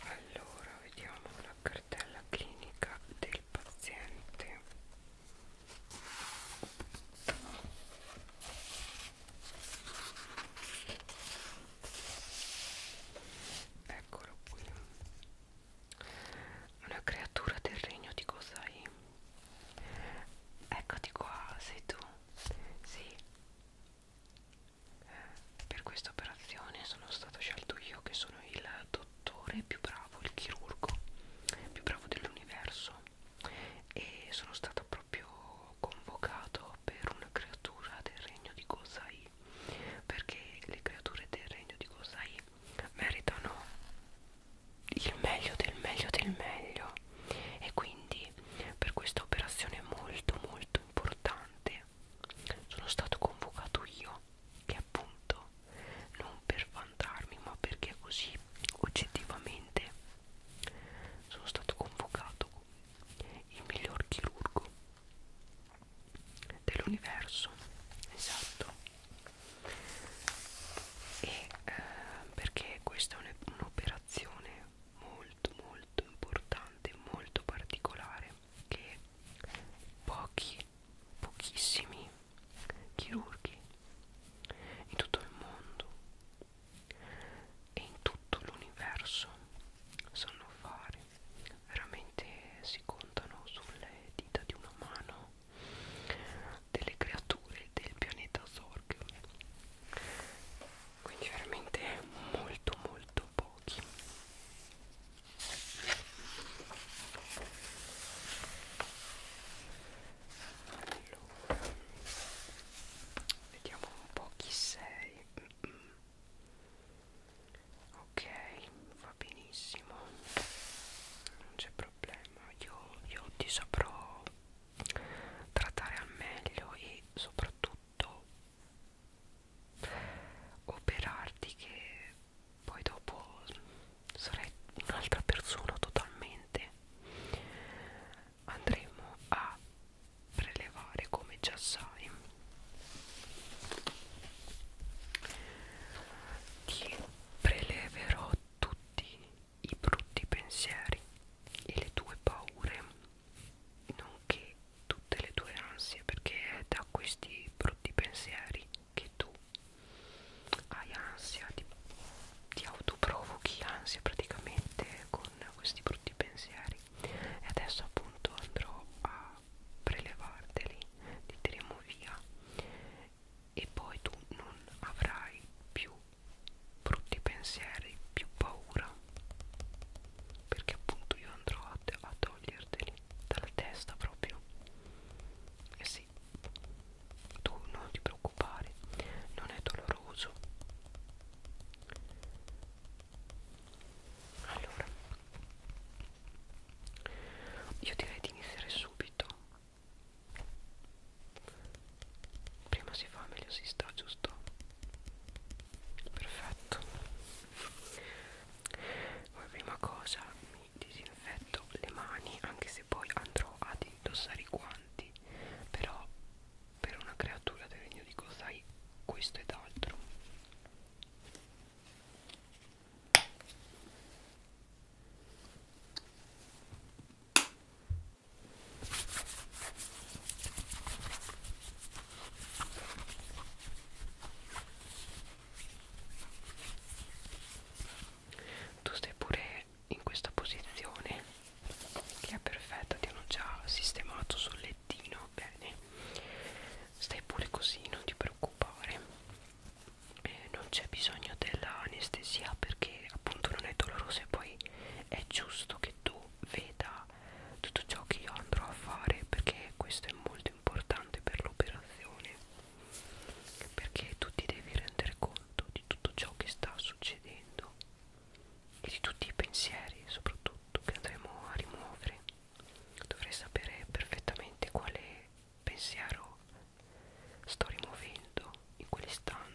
allora vediamo la cartella clinica del paziente eccolo qui una creatura del regno di Gosai eccoti qua sei tu sì per questa operazione sono stato scelto io che sono il dottore più bravo, il chirurgo più bravo dell'universo e sono stato proprio convocato per una creatura del regno di Gozai perché le creature del regno di Gozai meritano il meglio del meglio del meglio e quindi per questa operazione molto molto importante me sono stato convocato io che appunto non per vantarmi ma perché così oggettivamente sono stato convocato il miglior chirurgo dell'universo esatto e eh, perché questa è un'operazione molto molto importante molto particolare che pochi pochissimi chirurghi in tutto il mondo e in tutto l'universo sanno fare veramente si contano sulle dita di una mano delle creature del pianeta Zorg quindi veramente molto molto pochi allora vediamo un po' chi sei mm -mm. ok va benissimo non c'è problema io, io ti saprò trattare al meglio e soprattutto operarti che poi dopo sarai un'altra persona totalmente andremo a prelevare come già sai ti preleverò tutti i brutti pensieri e le tue paure nonché tutte le tue ansie perché è da questi brutti pensieri che tu hai ansia ti, ti autoprovochi ansia praticamente con questi brutti pensieri e adesso appunto andrò a prelevarteli ti tireremo via e poi tu non avrai più brutti pensieri più paura paura perché appunto io andrò a, a toglierteli dalla testa proprio e eh sì tu non ti preoccupare non è doloroso allora io direi di iniziare subito prima si fa meglio si sta giusto perfetto come prima cosa mi disinfetto le mani anche se poi andrò ad indossare i guanti però per una creatura del regno di Kozai questo ed altro tu stai pure in questa posizione che è perfetta ti hanno già sistemato sul lettino bene stai pure così non ti preoccupare eh, non c'è bisogno dell'anestesia perché appunto non è doloroso e poi è giusto che tu veda tutto ciò che io andrò a fare perché questo è molto importante per l'operazione perché tu ti devi rendere conto di tutto ciò che sta succedendo e di tutti i pensieri soprattutto che andremo a rimuovere dovrai sapere perfettamente quale pensiero sto rimuovendo in quell'istante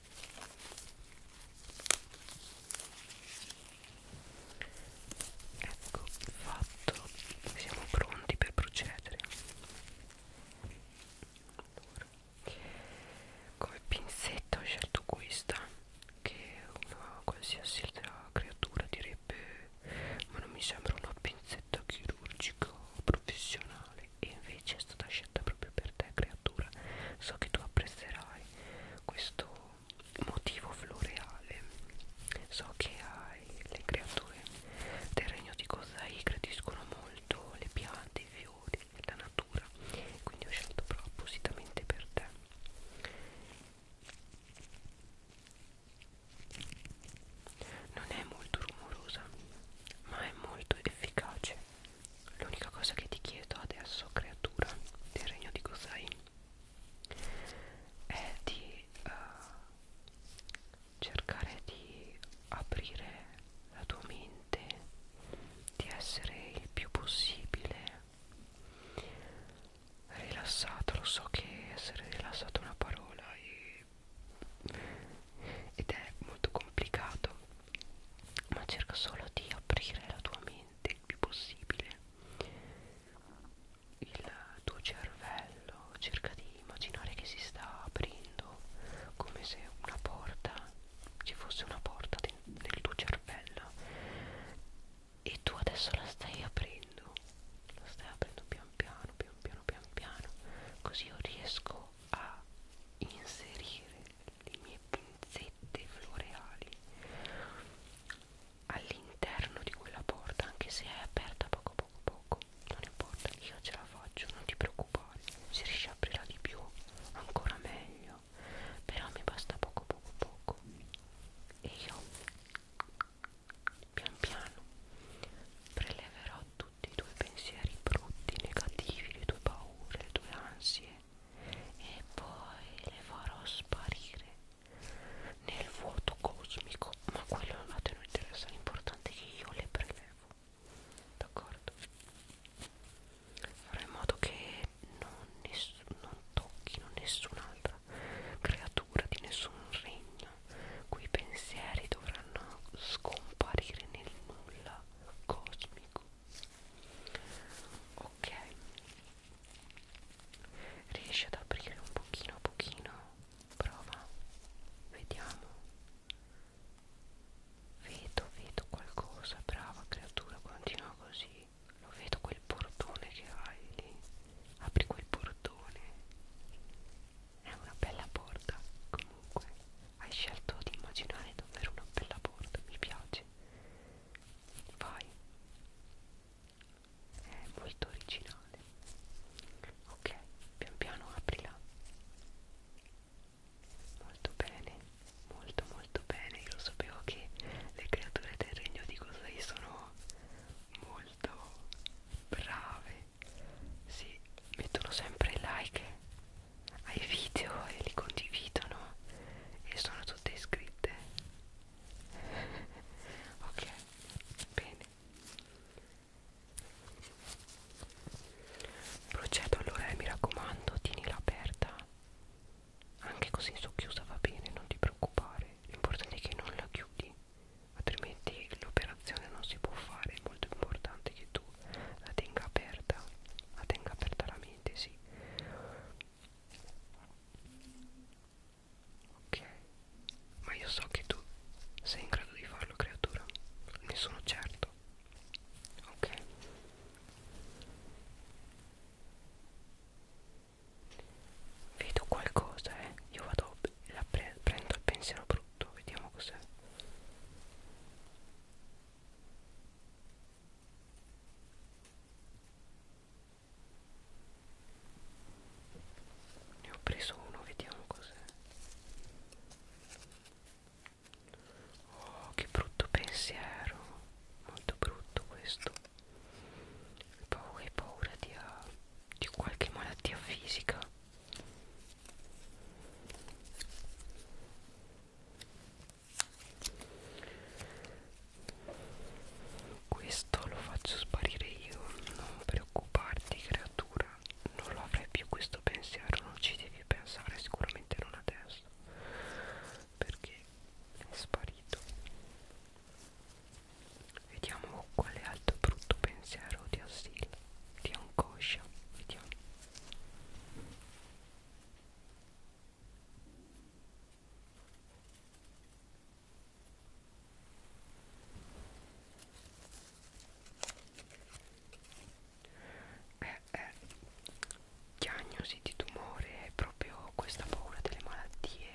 ecco fatto siamo pronti per procedere allora. come pinzetta ho scelto questa che una qualsiasi altra creatura direbbe ma non mi sembra una pinzetta chirurgica professionale e invece è stata scelta proprio per te creatura so che tu apprezzerai questo motivo floreale so che hai le creature del regno di Kozai gradiscono molto le piante, i fiori, la natura quindi ho scelto proprio appositamente per te non è molto rumorosa ma è molto efficace L'unica cosa che ti chiedo adesso, creatura del regno di Gosai, è di uh, cercare di aprire la tua mente, di essere il più possibile rilassato. Lo so che essere rilassato è una parola e, ed è molto complicato ma cerca solo di aprire la tua mente il più possibile il tuo cervello cerca di immaginare che si sta aprendo come se una porta ci fosse una porta nel tuo cervello e tu adesso la stai aprendo la stai aprendo pian piano pian piano pian piano così io riesco a inserire le mie pinzette floreali all'interno di quella porta anche se è aperta poco poco poco non importa io ce la faccio non ti preoccupare se riesci a aprirla di più ancora meglio però mi basta poco poco poco e io pian piano preleverò tutti i tuoi pensieri brutti, negativi, le tue paure, le tue ansie e poi le farò sparire nel vuoto cosmico, ma quello a te non interessa, l'importante è che io le prelevo, d'accordo? Farò in modo che non, non tocchino nessun'altra creatura di nessun regno, quei pensieri dovranno scomparire nel nulla cosmico ok riesci ad aprire un pochino a pochino prova vediamo vedo vedo qualcosa brava creatura continua così lo vedo quel portone che hai lì apri quel portone è una bella porta comunque hai scelto di immaginare davvero una bella porta, mi piace. Vai. È molto originale. Ok, pian piano aprila. Molto bene, molto molto bene. Io sapevo che le creature del regno di Cosai sono molto brave. Sì, mettono sempre like ai video e li condividono e sono tutte iscritte ok bene procedo allora e mi raccomando tienila aperta anche così socchiusa va bene non ti preoccupare l'importante è che non la chiudi altrimenti l'operazione non si può fare è molto importante che tu la tenga aperta la tenga aperta la assolutamente sì ok ma io so che tu sei in grado di farlo creatura ne sono certo ok vedo qualcosa eh io vado la pre prendo il pensiero brutto vediamo cos'è ne ho preso uno, vediamo cos'è. Oh, che brutto pensiero. Molto brutto questo. Poi hai paura di, uh, di qualche malattia fisica questo lo faccio sparire io non preoccuparti creatura non lo avrai più questo pensiero non ci devi pensare sicuramente non adesso perché è sparito vediamo quale altro brutto pensiero ti assilla ti angoscia vediamo eh, eh, diagnosi di tumore è proprio questa paura delle malattie.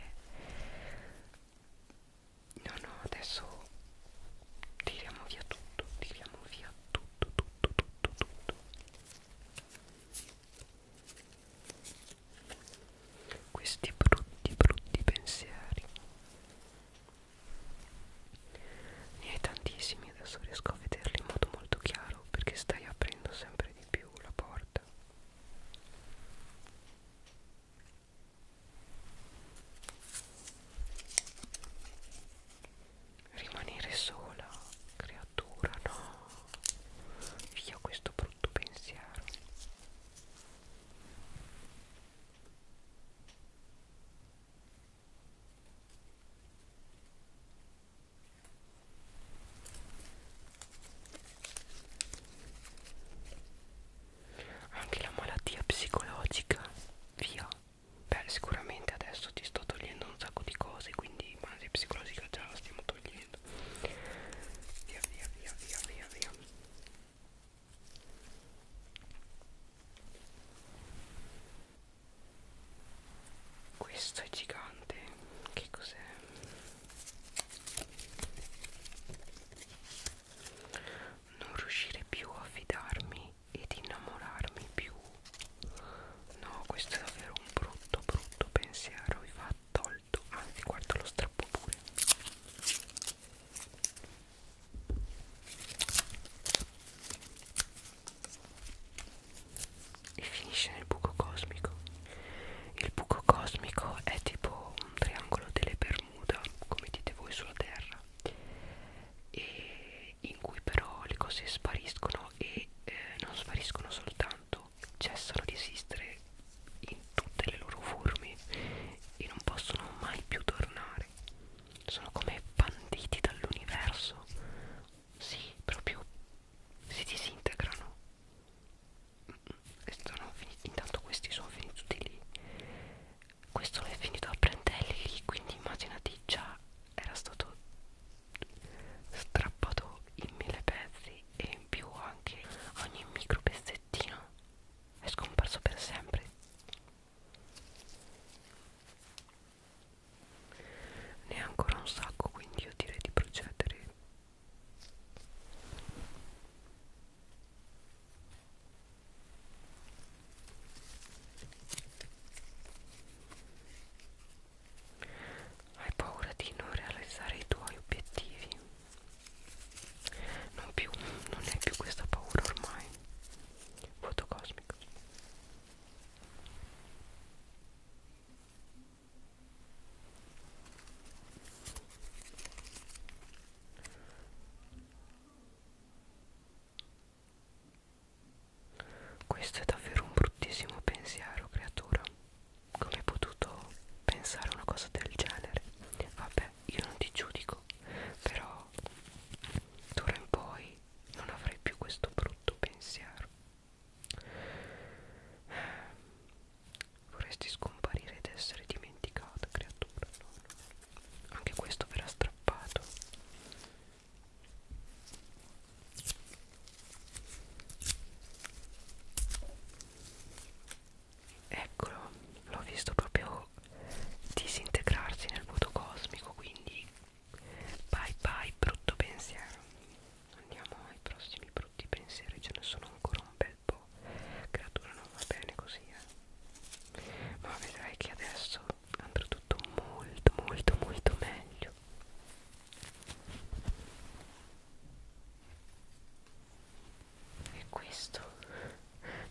No, no, adesso tiriamo via tutto, tiriamo via tutto, tutto, tutto, tutto questi brutti brutti pensieri ne hai tantissimi adesso riesco a vederli in modo molto chiaro perché stai aprendo sempre di più la porta rimanere sola creatura no via questo brutto pensiero anche la malattia psicologica via beh sicuramente adesso ti sto togliendo un sacco di cose quindi ma se psicologica già la stiamo togliendo via via via via via via questo è gigante che cos'è non riuscire più a fidarmi ed innamorarmi più No, questo è davvero un brutto, brutto pensiero. Vi va tolto. Anzi, guarda lo strappo pure. E finisce nel buco cosmico. Il buco cosmico è tipo un triangolo delle Bermuda, come dite voi sulla Terra, e in cui però le cose spariscono e eh, non spariscono soltanto, cessano di esistere in tutte le loro forme e non possono mai più tornare. Sono come banditi dall'universo. Sì, proprio si disintegrano. Sono finiti, intanto questi sono finiti lì. Questo è finito a Prentelli, quindi immaginati già era stato strappato in mille pezzi e in più anche ogni micro pezzettino è scomparso per sempre ne è ancora un sacco quindi io direi di procedere hai paura di non realizzare i tuoi obiettivi? Non più, non è più questa paura ormai. Vuoto cosmico. Questo è davvero un bruttissimo pensiero, creatura. Come hai potuto pensare una cosa del genere? Vabbè, io non ti giudico, però d'ora in poi non avrai più questo brutto pensiero. Eh, vorresti scomparire ed essere dimenticata, creatura. No, no. Anche questo verrà strappato. Eccolo, l'ho visto proprio disintegrarsi nel vuoto cosmico, quindi bye bye brutto pensiero. Andiamo ai prossimi brutti pensieri, ce ne sono ancora un bel po'. Creatura non va bene così, eh. Ma vedrai che adesso andrà tutto molto molto molto meglio bene e questo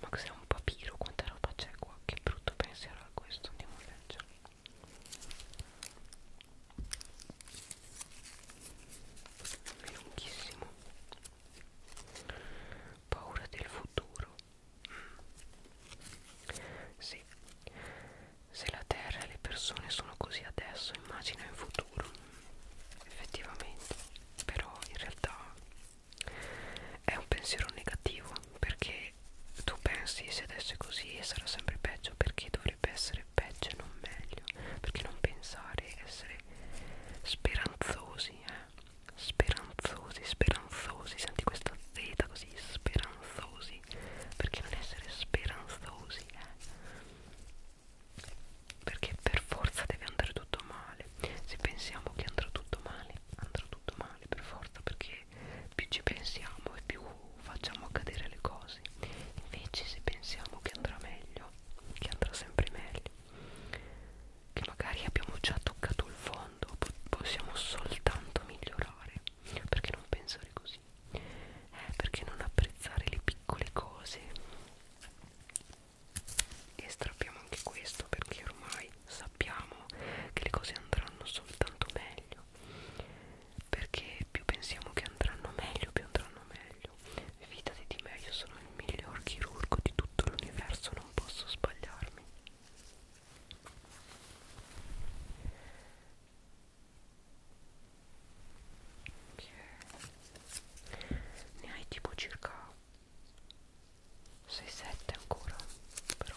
ma cos'è un papiro quanta roba c'è qua che brutto pensiero a questo andiamo a leggere è lunghissimo paura del futuro mm. sì se la terra e le persone sono così adesso immagina in futuro effettivamente però in realtà è un pensiero negativo perché tu pensi se adesso è così e sarà sempre peggio perché dovrebbe essere peggio e non meglio perché non pensare essere speranzosi eh? speranzosi speranzosi senti questa z così speranzosi così perché non essere speranzosi eh? perché per forza deve andare tutto male se pensiamo che andrà tutto male andrà tutto male per forza perché più ci pensiamo e più facciamo accadere le cose invece se pensiamo che andrà meglio che andrà sempre meglio che magari abbiamo già toccato il fondo possiamo soltanto migliorare perché non pensare così eh, perché non apprezzare le piccole cose e strappiamo anche questo perché ormai sappiamo che le cose andranno soltanto meglio perché più pensiamo che andranno meglio più andranno meglio fidati di me io sono il miglior chirurgo di tutto l'universo non posso sbagliarmi Okay. Ne hai tipo circa 6-7 ancora, però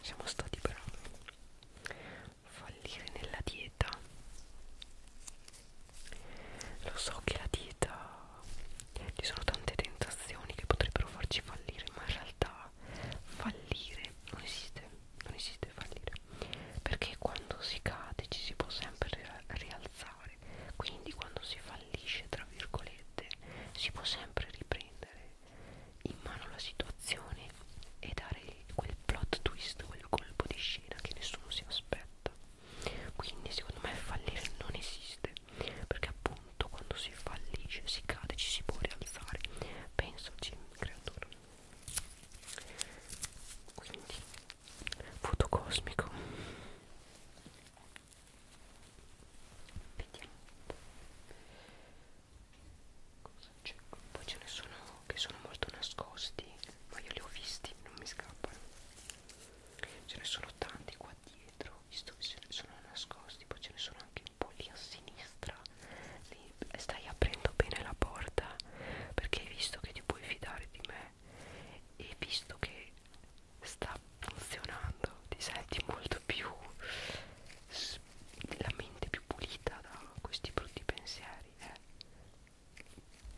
siamo stati bravi. Fallire nella dieta. Lo so che la dieta ci sono tante tentazioni che potrebbero farci fallire, ma in realtà fallire non esiste non esiste fallire perché quando si cade ci si può sempre rialzare quindi quando si fallisce tra virgolette si può sempre riprendere in mano la situazione e dare quel plot twist quel colpo di scena che nessuno si aspetta quindi secondo me fallire non esiste perché appunto quando si fallisce si cade ci si può rialzare pensaci creatura quindi voto cosmico vediamo cosa c'è poi ce ne sono che sono molto nascosti ma io li ho visti non mi scappano ce ne sono tanti qua dietro visto che ce ne sono nascosti poi ce ne sono anche un po' lì a sinistra lì stai aprendo bene la porta perché hai visto che ti puoi fidare di me e visto che sta funzionando ti senti molto più la mente più pulita da questi brutti pensieri eh?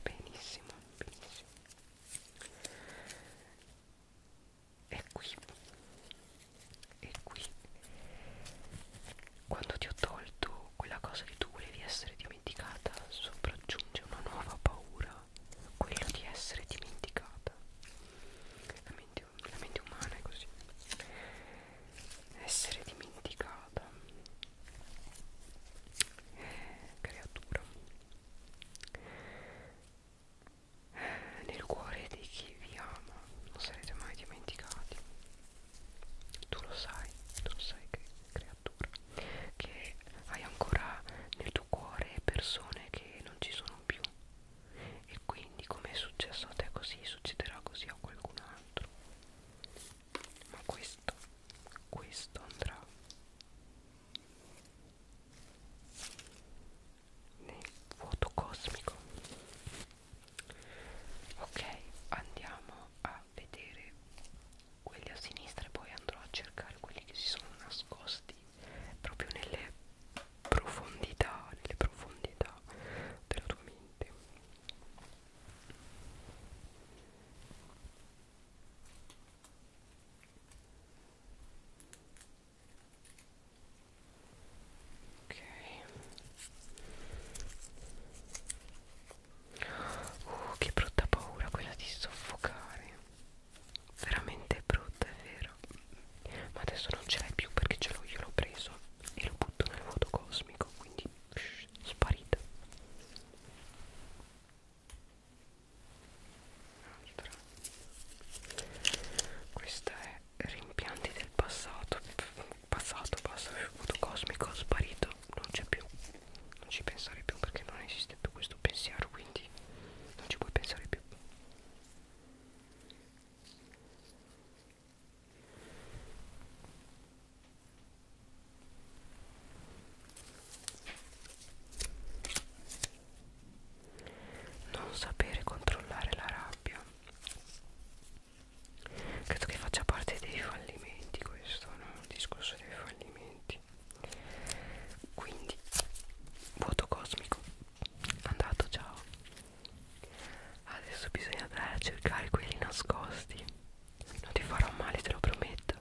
benissimo benissimo e qui e qui quando ti ho tolto quella cosa che tu volevi essere dimenticata, sopraggiunge una nuova paura, quella di essere dimenticata. La mente, la mente umana è così. Essere dimenticata. Creatura. Nel cuore di chi vi ama non sarete mai dimenticati tu lo sai, tu lo sai che creatura, che hai ancora nel tuo cuore persone che non ci sono più e quindi come è successo a te così succederà così a qualcun altro. Ma questo, questo andrà nel vuoto cosmico ok andiamo a vedere quelli a sinistra e poi andrò a cercare quelli che si sono nascosti proprio nelle profondità nelle profondità della tua mente ok Uh, che brutta paura quella di soffocare. Veramente brutta, è vero. Ma adesso non ce l'hai più perché ce l'ho io, l'ho preso e lo butto nel vuoto cosmico. Quindi shh, sparita. Altra. Questa è rimpianti del passato. Pff, passato, basta, il vuoto cosmico sparito, non c'è più, non ci pensare più perché non esiste più questo pensiero, quindi non ci puoi pensare più. Non sapere controllare la rabbia credo che faccia parte dei fallimenti questo no? il discorso dei fallimenti quindi vuoto cosmico andato ciao adesso bisogna andare a cercare quelli nascosti non ti farò male te lo prometto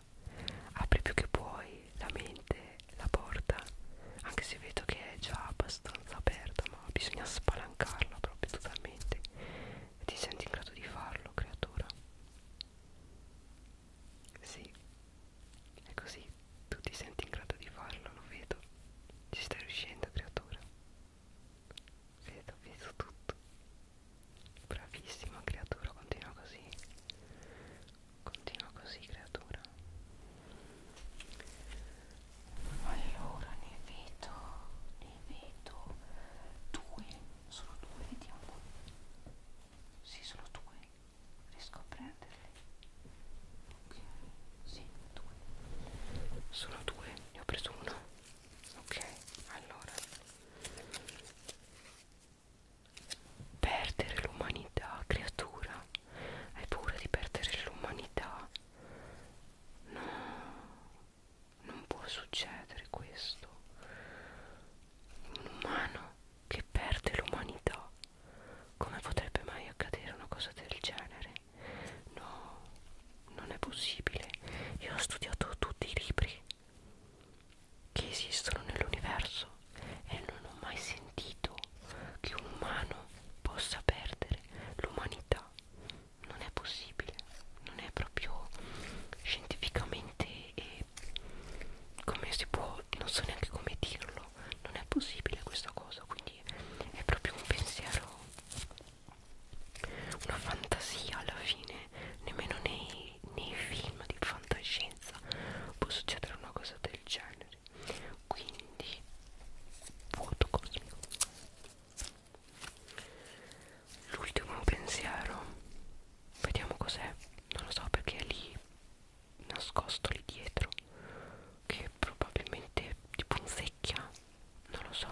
apri più che puoi la mente la porta anche se vedo che è già abbastanza aperta ma bisogna spalancarla proprio totalmente e ti senti in grado di farlo, creatura? Sì, è così. Tu ti senti in grado di farlo, lo vedo. Ci stai riuscendo, creatura. Vedo, vedo tutto. Bravissima, creatura, continua così. Continua così, creatura. Allora ne vedo, ne vedo due Solo due, vediamo. Sì, solo due. Riesco a prenderli. Ok, sì, due. Sono due, ne ho preso uno. Ok, allora. Perdere l'umanità, creatura. Hai paura di perdere l'umanità? No, non può succedere questo un umano che perde l'umanità come potrebbe mai accadere una cosa del genere no non è possibile io ho studiato tutti i libri che esistono nell'universo e non ho mai sentito che un umano possa perdere l'umanità non è possibile, non è proprio scientificamente e come si può, non so neanche come dirlo, non è possibile questa cosa, quindi è proprio un pensiero, una fantasia alla fine, nemmeno nei, nei film di fantascienza può succedere una cosa del genere, quindi vuoto cosmico L'ultimo pensiero Vediamo cos'è Non lo so perché è lì Nascosto lì dietro Che probabilmente tipo un secchia Non lo so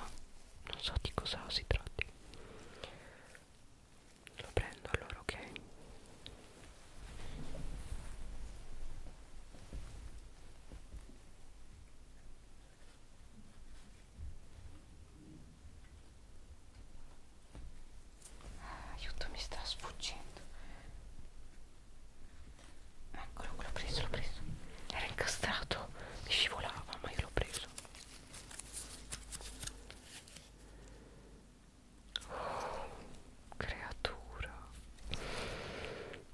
Non so di cosa si tratti Lo prendo allora ok Aiuto, mi sta sfuggendo. Eccolo, l'ho preso, l'ho preso. Era incastrato, mi scivolava, ma io l'ho preso. Oh, creatura.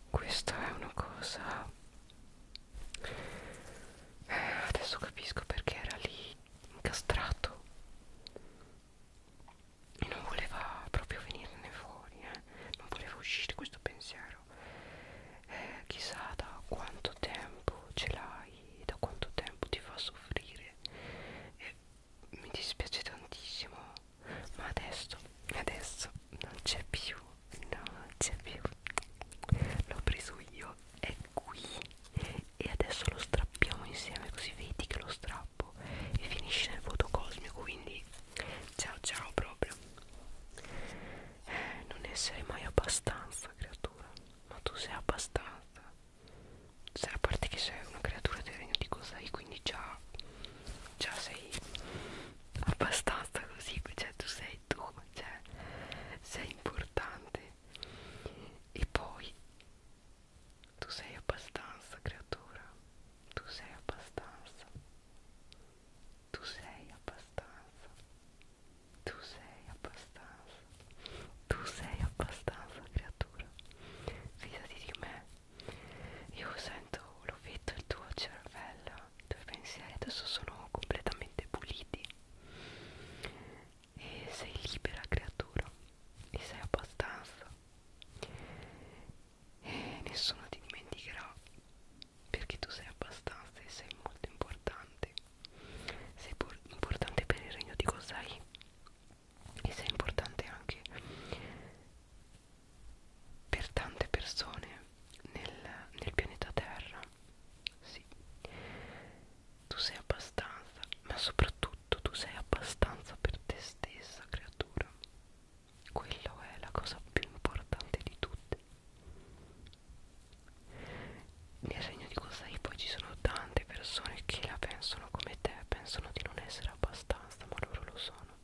Questa è una cosa... Eh, adesso capisco perché era lì incastrato e non voleva proprio venirne fuori, eh? non voleva uscire questo pensiero. Eh, chissà da quanto tempo ce l'hai, da quanto tempo ti fa soffrire. Eh, mi dispiace tantissimo, ma adesso, adesso non c'è più, non c'è più. L'ho preso io e qui e adesso lo strappiamo insieme così vedi che lo strappo e finisce nel vuoto cosmico quindi ciao ciao proprio eh, non essere mai abbastanza creatura ma tu sei abbastanza cioè, a parte che sei una creatura del regno di Cosai quindi già già sei abbastanza così cioè tu sei tu cioè sei importante e poi tu sei abbastanza creatura tu sei abbastanza tu sei abbastanza tu sei abbastanza tu sei abbastanza creatura fidati di me io sento l'ho detto il tuo cervello i tuoi pensieri adesso sono completamente puliti e sei libera creatura e sei abbastanza e nessuno ti dimenticherà perché tu sei abbastanza e sei molto importante sei importante per il regno di Kosai e sei importante anche per tante persone nel, nel pianeta Terra sì tu sei abbastanza, ma soprattutto tu sei abbastanza per te stessa, creatura. Quello è la cosa più importante di tutte. Nel regno di Kosai poi ci sono tante persone che la pensano come te, pensano di non essere abbastanza, ma loro lo sono.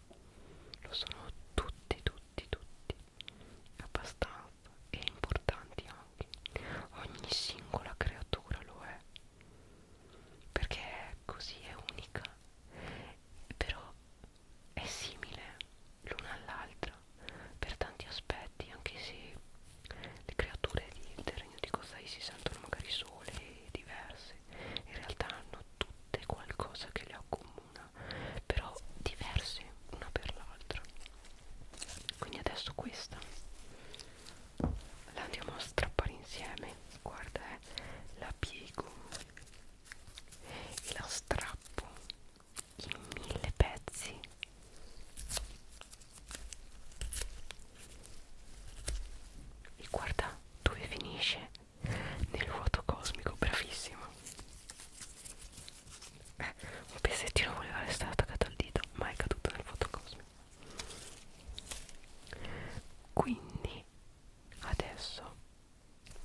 Lo sono tutti, tutti, tutti. Abbastanza top e importanti anche ogni singola creatura lo è perché è così è unica però è simile l'una all'altra per tanti aspetti anche se le creature di, del regno di Kozai si sentono magari sole e diverse in realtà hanno tutte qualcosa che le accomuna però diverse una per l'altra quindi adesso questa la andiamo a strappare insieme guarda eh, la piego e la strappo in mille pezzi e guarda dove finisce nel vuoto cosmico bravissimo eh, un pezzettino voleva restare attaccato al dito ma è caduto nel fotocosmo quindi adesso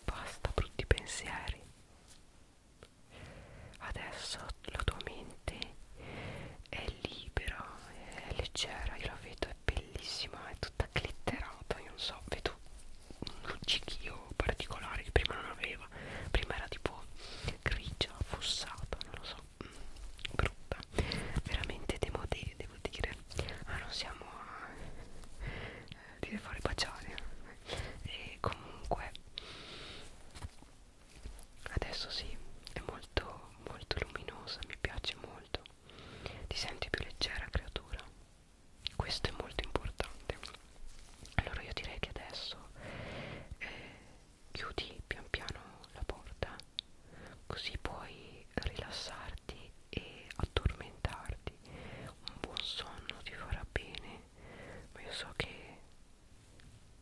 basta brutti pensieri adesso la tua mente è libera è leggera io la vedo è bellissima è tutta glitterata io non so vedo un luccichio particolare che prima non aveva prima era tipo grigia, fossata, non lo so so, brutta veramente demodé devo dire ah non siamo a eh, dire fuori baciare e comunque adesso sì è molto molto luminosa mi piace molto ti senti più leggera creatura questo è molto importante allora io direi che adesso eh, chiudi pian piano la porta così puoi rilassarti e addormentarti un buon sonno ti farà bene ma io so che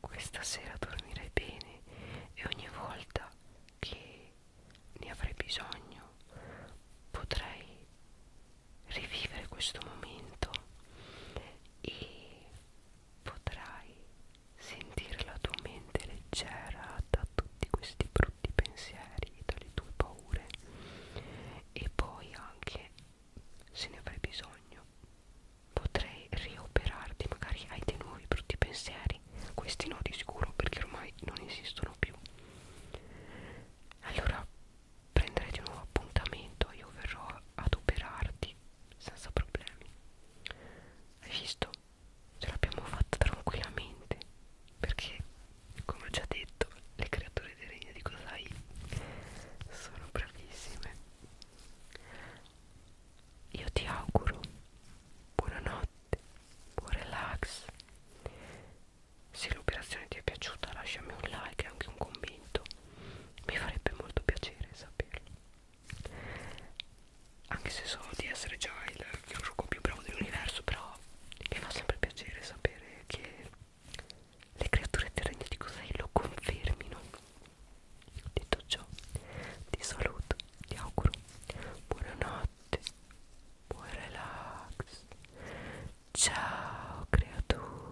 questa sera dormirai bene e ogni volta che ne avrai bisogno potrai rivivere questo momento e potrai sentire la tua mente leggera da tutti questi brutti pensieri, dalle tue paure e poi anche se ne avrai bisogno potrei rioperarti magari hai dei nuovi brutti pensieri questi no di sicuro perché ormai non esistono più allora prenderei di nuovo appuntamento io verrò ad operarti senza problemi hai visto? ce l'abbiamo fatta tranquillamente perché come ho già detto le creature del regno di Kosai sono bravissime io ti auguro buonanotte buon relax se l'operazione ti è piaciuta lasciami un like e anche un commento mi farebbe molto piacere saperlo anche se so di essere già il gioco più bravo dell'universo però mi fa sempre piacere sapere che le creature terrene di Cosai lo confermino detto ciò ti saluto ti auguro buonanotte buon relax ciao creatura